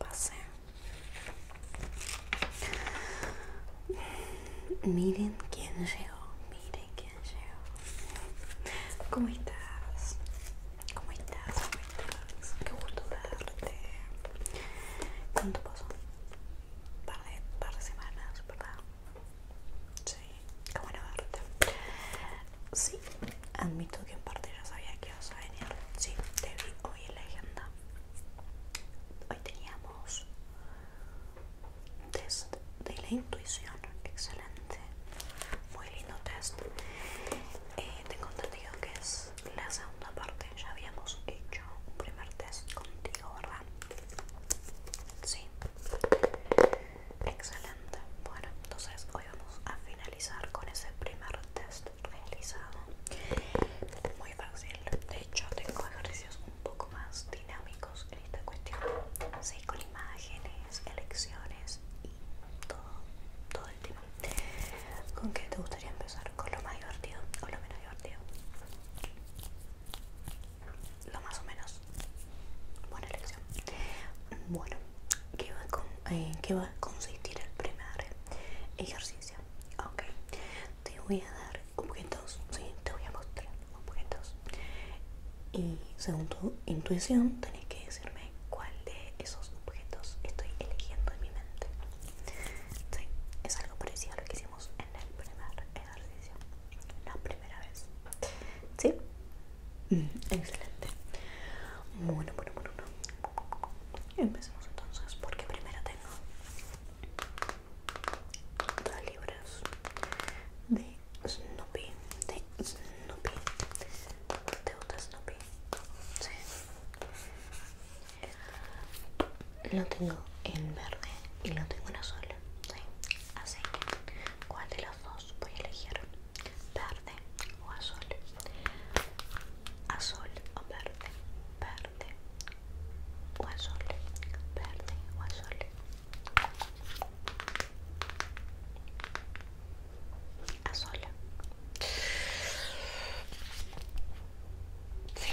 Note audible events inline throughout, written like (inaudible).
Pasé. Miren quién llegó, miren quién llegó. ¿Cómo estás? ¿Cómo estás? Como estás? Qué gusto verte. ¿Cuánto pasó? Par de, par de semanas, ¿verdad? Sí, qué bueno verte. Sí, admito que en parte ya sabía que ibas a venir. Sí, te vi hoy en la agenda. Hoy teníamos test de la intuición, excelente. Muy lindo test. Eh, tengo entendido que es la segunda parte. Ya habíamos hecho un primer test contigo, ¿verdad? Sí. Excelente. Bueno, entonces hoy vamos a finalizar con ese primer test realizado. Muy fácil. De hecho, tengo ejercicios un poco más dinámicos en esta cuestión. así con imágenes, elecciones y todo, todo el tema. ¿Con qué te gustaría empezar? ¿Con lo más divertido o lo menos divertido? lo más o menos. Buena elección. Bueno, ¿qué va, eh, ¿qué va a consistir el primer ejercicio? Ok, te voy a dar objetos, te voy a mostrar objetos. Y según tu intuición, tenés que decirme cuál de esos objetos estoy eligiendo en mi mente. Sí, es algo parecido a lo que hicimos en el primer ejercicio, la primera vez. ¿Sí? Mm, excelente. Bueno, bueno, bueno, Empecemos entonces porque primero tengo dos libros de Snoopy, de Snoopy. de otra Snoopy? Sí. Lo tengo en verde y lo tengo en azul. ¿sí? Así ¿cuál de los dos voy a elegir? ¿Verde o azul? ¿Azul o verde? ¿Verde o azul? ¿Verde o azul? Azul. Sí,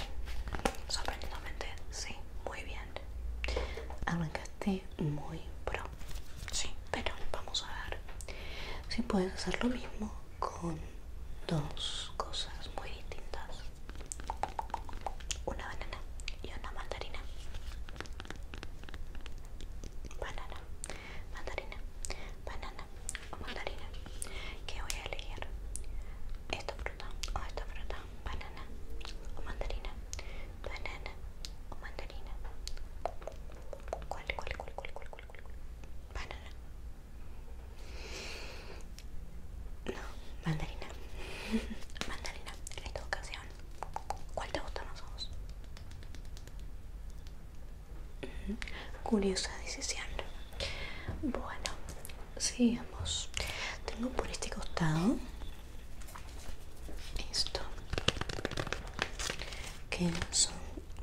sorprendentemente, sí, muy bien. Arrancaste muy pronto sí, pero vamos a ver si puedes hacer lo mismo con dos cosas muy distintas una banana y una mandarina banana, mandarina, banana o mandarina que voy a elegir esta fruta o esta fruta banana o mandarina, banana o mandarina. ¿Cuál, cuál, cuál, cuál, cuál, cuál, Banana. No, mandarina. (laughs) mandarina, en esta ocasión. ¿Cuál te gusta más a vos? Curiosa decisión. Bueno, sigamos. Tengo por este costado esto que son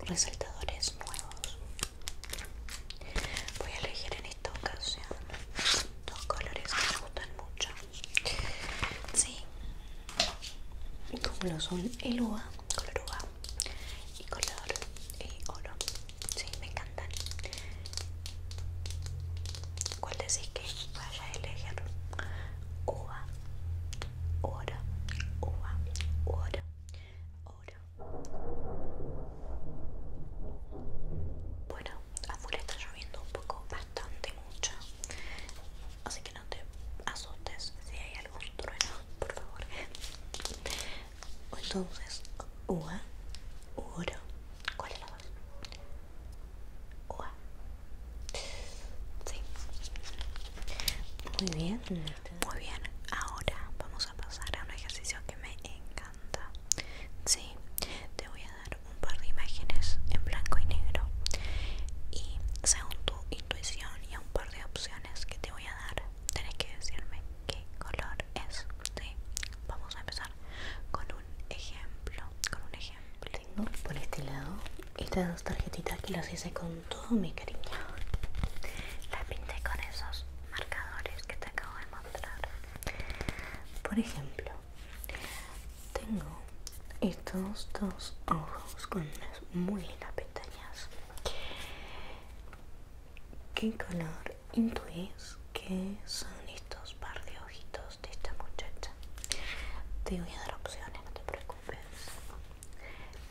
resaltadores nuevos voy a elegir en esta ocasión dos colores que me gustan mucho sí como lo son el uva color uva y color oro sí me encantan ¿Cuál decís que a elegir uva, oro, uva, oro, oro. Bueno, afuera está lloviendo un poco, bastante mucho, así que no te asustes si hay algún trueno, por favor. Entonces, uva, oro. ¿Cuál es la muy bien, muy bien. Ahora vamos a pasar a un ejercicio que me encanta. Sí, te voy a dar un par de imágenes en blanco y negro. Y según tu intuición y un par de opciones que te voy a dar, tenés que decirme qué color es. ¿sí? Vamos a empezar con un ejemplo. Con un ejemplo. Tengo por este lado estas dos tarjetitas que las hice con todo mi cariño. Las pinté con esos marcadores que te acabo de mostrar. Por ejemplo, tengo estos dos ojos con unas muy lindas pestañas. ¿Qué color intuís que son estos par de ojitos? de esta muchacha te voy a dar opciones no te preocupes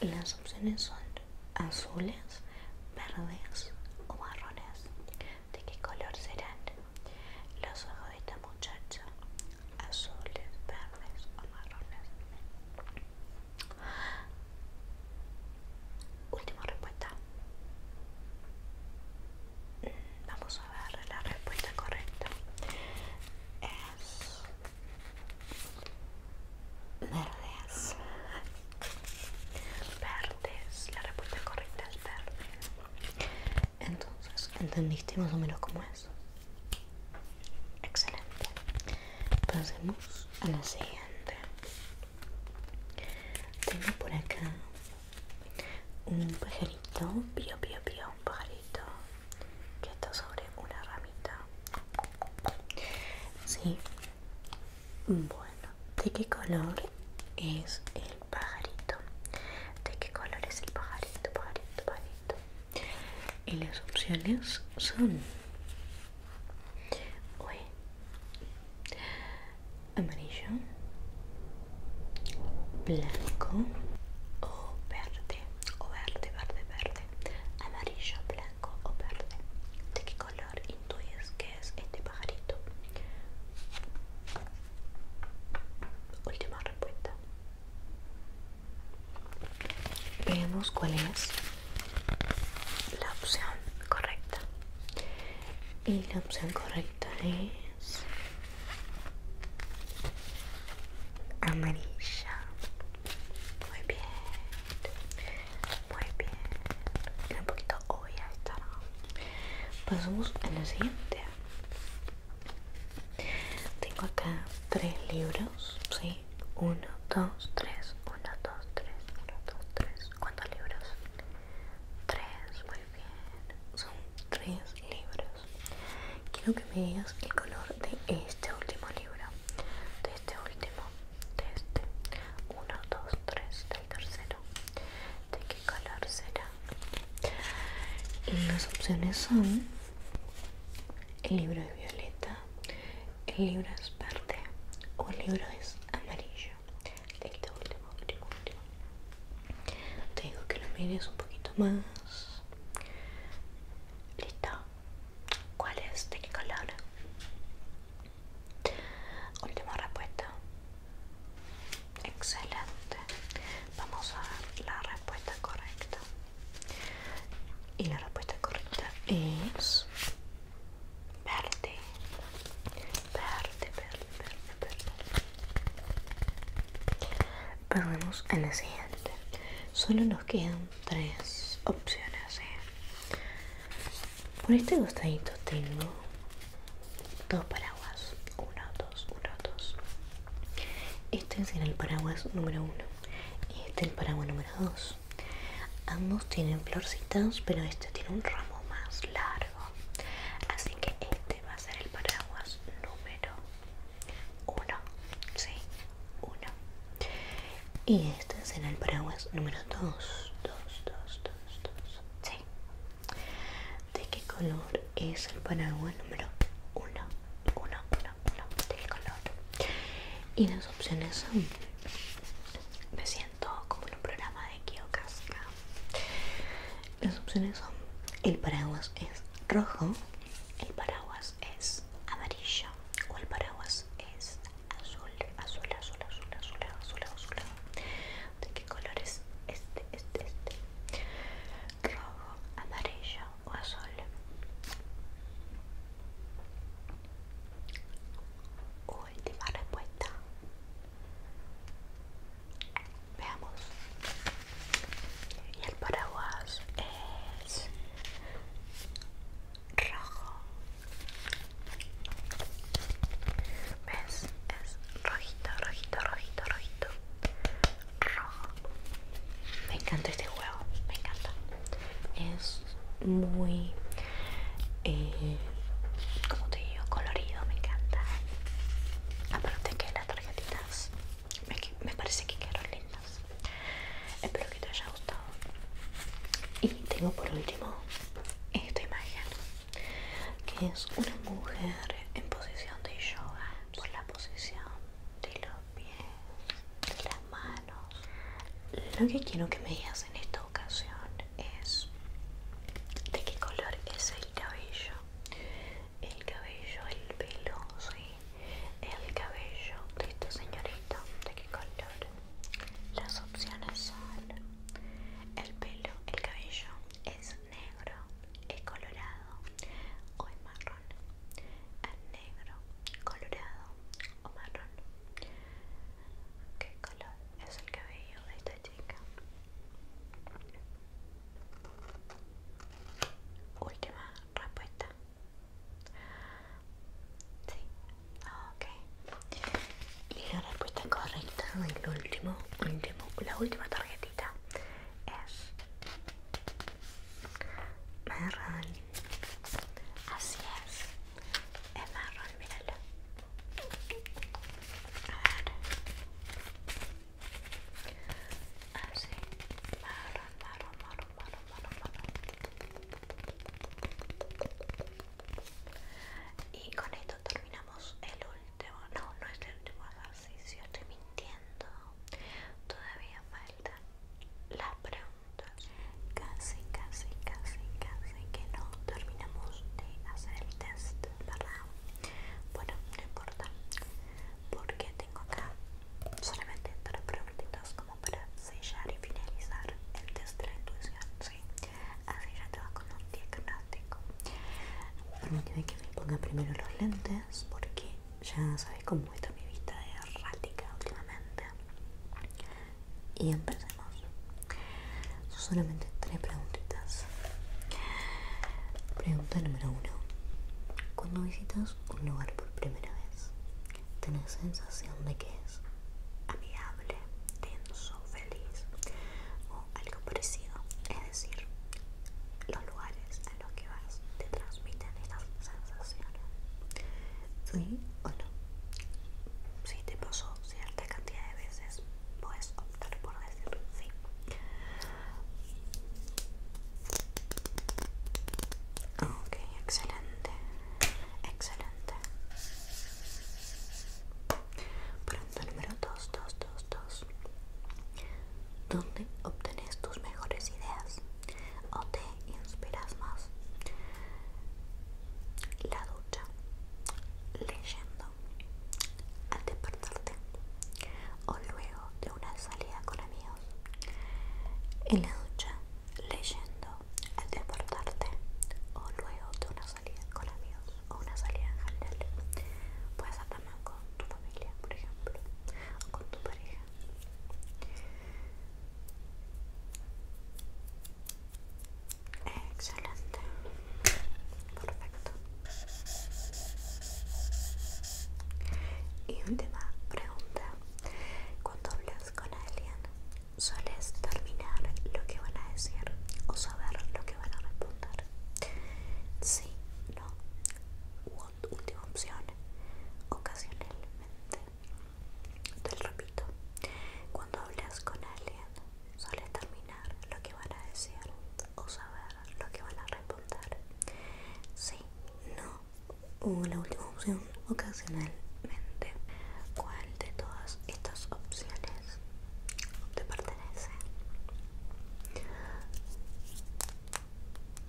las opciones son azules verdes o marrones de qué color serán los ojos de esta muchacha azules verdes o marrones última respuesta Vamos a ver la respuesta correcta. Es verdes. Verdes. La respuesta correcta es verde. Entonces, ¿entendiste más o menos cómo es? Excelente. Pasemos a la siguiente. Tengo por acá un pajarito, pío pío pío, un pajarito que está sobre una ramita. Sí. Bueno, ¿de qué color es el pajarito? ¿De qué color es el pajarito, pajarito, pajarito? Y las opciones son... Uy amarillo, blanco o verde, o verde, verde, verde, amarillo, blanco o verde. ¿De qué color intuyes que es este pajarito? Última respuesta. Veamos cuál es la opción correcta. Y la opción correcta es años amarilla muy bien muy bien un poquito hoy estará pasamos a la siguiente tengo acá tres libros sí 1 2 3 1 2 3 1 2 3 cuántos libros 3 bien, son tres libros. Quiero que me digas el color de este último libro. De este último, de este. Uno, dos, tres, del tercero. ¿De qué color será? Las opciones son: el libro es violeta, el libro es verde o el libro es amarillo tengo último último último te que lo mires un poquito más listo cuál es de qué color última respuesta excelente vamos a ver la respuesta correcta y la respuesta correcta es verde verde verde vamos a la siguiente. Solo nos quedan tres opciones. Por este costadito tengo dos paraguas. Uno, dos, uno, dos. Este será el paraguas número uno. Y este el paraguas número dos. Ambos tienen florcitas, pero este tiene un ramo más largo. Así que este va a ser el paraguas número 1. Sí, 1. Y este será el paraguas número 2. 2, 2, 2, 2, sí. De qué color es el paraguas número 1? 1, 1, 1. De qué color? Y las opciones son B todo como en un programa de Kiyokasuka. Las opciones son: el paraguas es rojo, el paraguas es amarillo o el paraguas es azul, azul, azul, azul, azul, azul, azul. ¿De qué color es este, este, este? Rojo, amarillo o azul. Última respuesta. Veamos. Y el paraguas es rojo. ¿Ves? Es rojito, rojito, rojito, rojito. Rojo. Me encanta este juego, me encanta. Es muy eh, como te digo, colorido, me encanta. Aparte que las tarjetitas me, me parece que quedaron lindas. Espero que te haya gustado. Y tengo por último esta imagen, que es una mujer en posición de yoga, por la posición de los pies, de las manos. Lo que quiero que me digas en esto ocasión es de qué color es el cabello el cabello el pelo sí el cabello de este señorita de qué color las opciones son el pelo el cabello es negro es colorado o es marrón es negro colorado o marrón ¿Qué color es el cabello de esta Última respuesta. Sí, ok. Y la respuesta correcta el último, la última tarjetita es marrón. Así es, es marrón, míralo. Así. Y con esto terminamos el último. No, no es el último ejercicio, estoy mintiendo. Todavía falta la pregunta. Casi, casi, casi, casi que no terminamos de hacer el test, ¿verdad? Bueno, no importa, porque tengo acá solamente tres preguntitas como para sellar y finalizar el test de la intuición, ¿sí? Así ya te va con un diagnóstico. Permíteme que me ponga primero los lentes, porque ya sabes cómo está mi vista errática últimamente y empecemos. Son solamente tres preguntitas. Pregunta número uno. Cuando visitas un lugar por primera vez, ¿tenés sensación de que es amigable, tenso, feliz o algo parecido? Es decir, los lugares a los que vas te transmiten esta sensaciones. ¿Sí o no? Si te pasó cierto cantidad de veces puedes optar por decir sí. Ok, excelente, excelente. Pregunta número 2, 2, 2, 2. ¿Dónde obtienes tus mejores ideas o te inspiras más? la ducha, leyendo, al despertarte o luego de una salida con amigos. En la ducha, leyendo, al despertarte o luego de una salida con amigos o una salida en general. Puedes estar también con tu familia, por ejemplo, o con tu pareja. Excelente. Perfecto. Y última pregunta. Cuando hablas con alguien, ¿sueles terminar lo que van a decir o saber lo que van a responder? Sí, no. última opción. Ocasionalmente. Te lo repito. Cuando hablas con alguien, suele terminar lo que van a decir o saber lo que van a responder. Sí, no, o la última opción ocasionalmente. ¿Cuál de todas estas opciones te pertenece?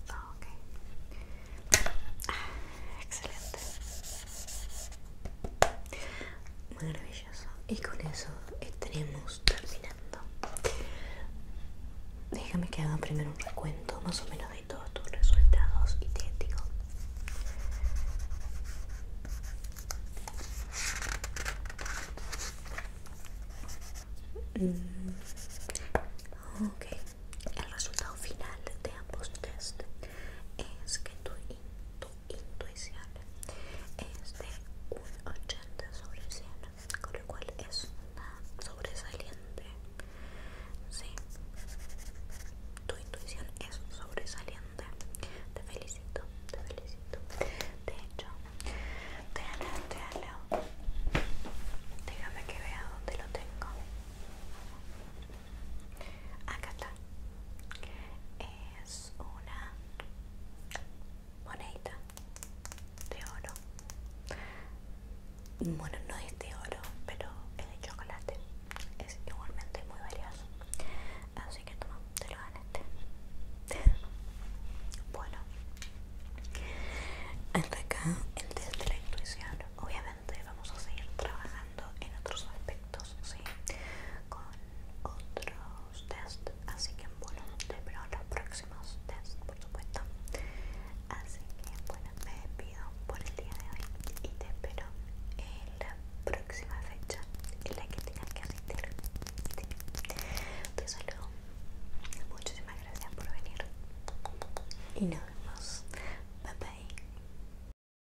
Ah, ah, excelente. Maravilloso y con eso estaremos terminando déjame que haga primero un recuento más o menos de todos tus resultados y te digo mm. ok el resultado final de ambos test es que tu, intuición es de un 80 sobre 100 con lo cual es una sobresaliente sí tu intuición es sobresaliente te felicito te felicito de hecho te aleo, te Déjame que vea dónde lo tengo. Acá está. Es una monedita de oro. Bueno, no es de oro, pero es de chocolate. Es igualmente muy valioso. Así que toma, te lo ganaste. (laughs) Bueno, hasta acá el de la intuición. Obviamente vamos a seguir trabajando en otros aspectos, ¿sí? Con otros test, así que bueno, te espero en los próximos test, por supuesto. Así que bueno, me despido por el día de hoy y te espero en la próxima fecha en la que tengas que asistir. Te saludo. Muchísimas gracias por venir. Y nos vemos. Bye bye.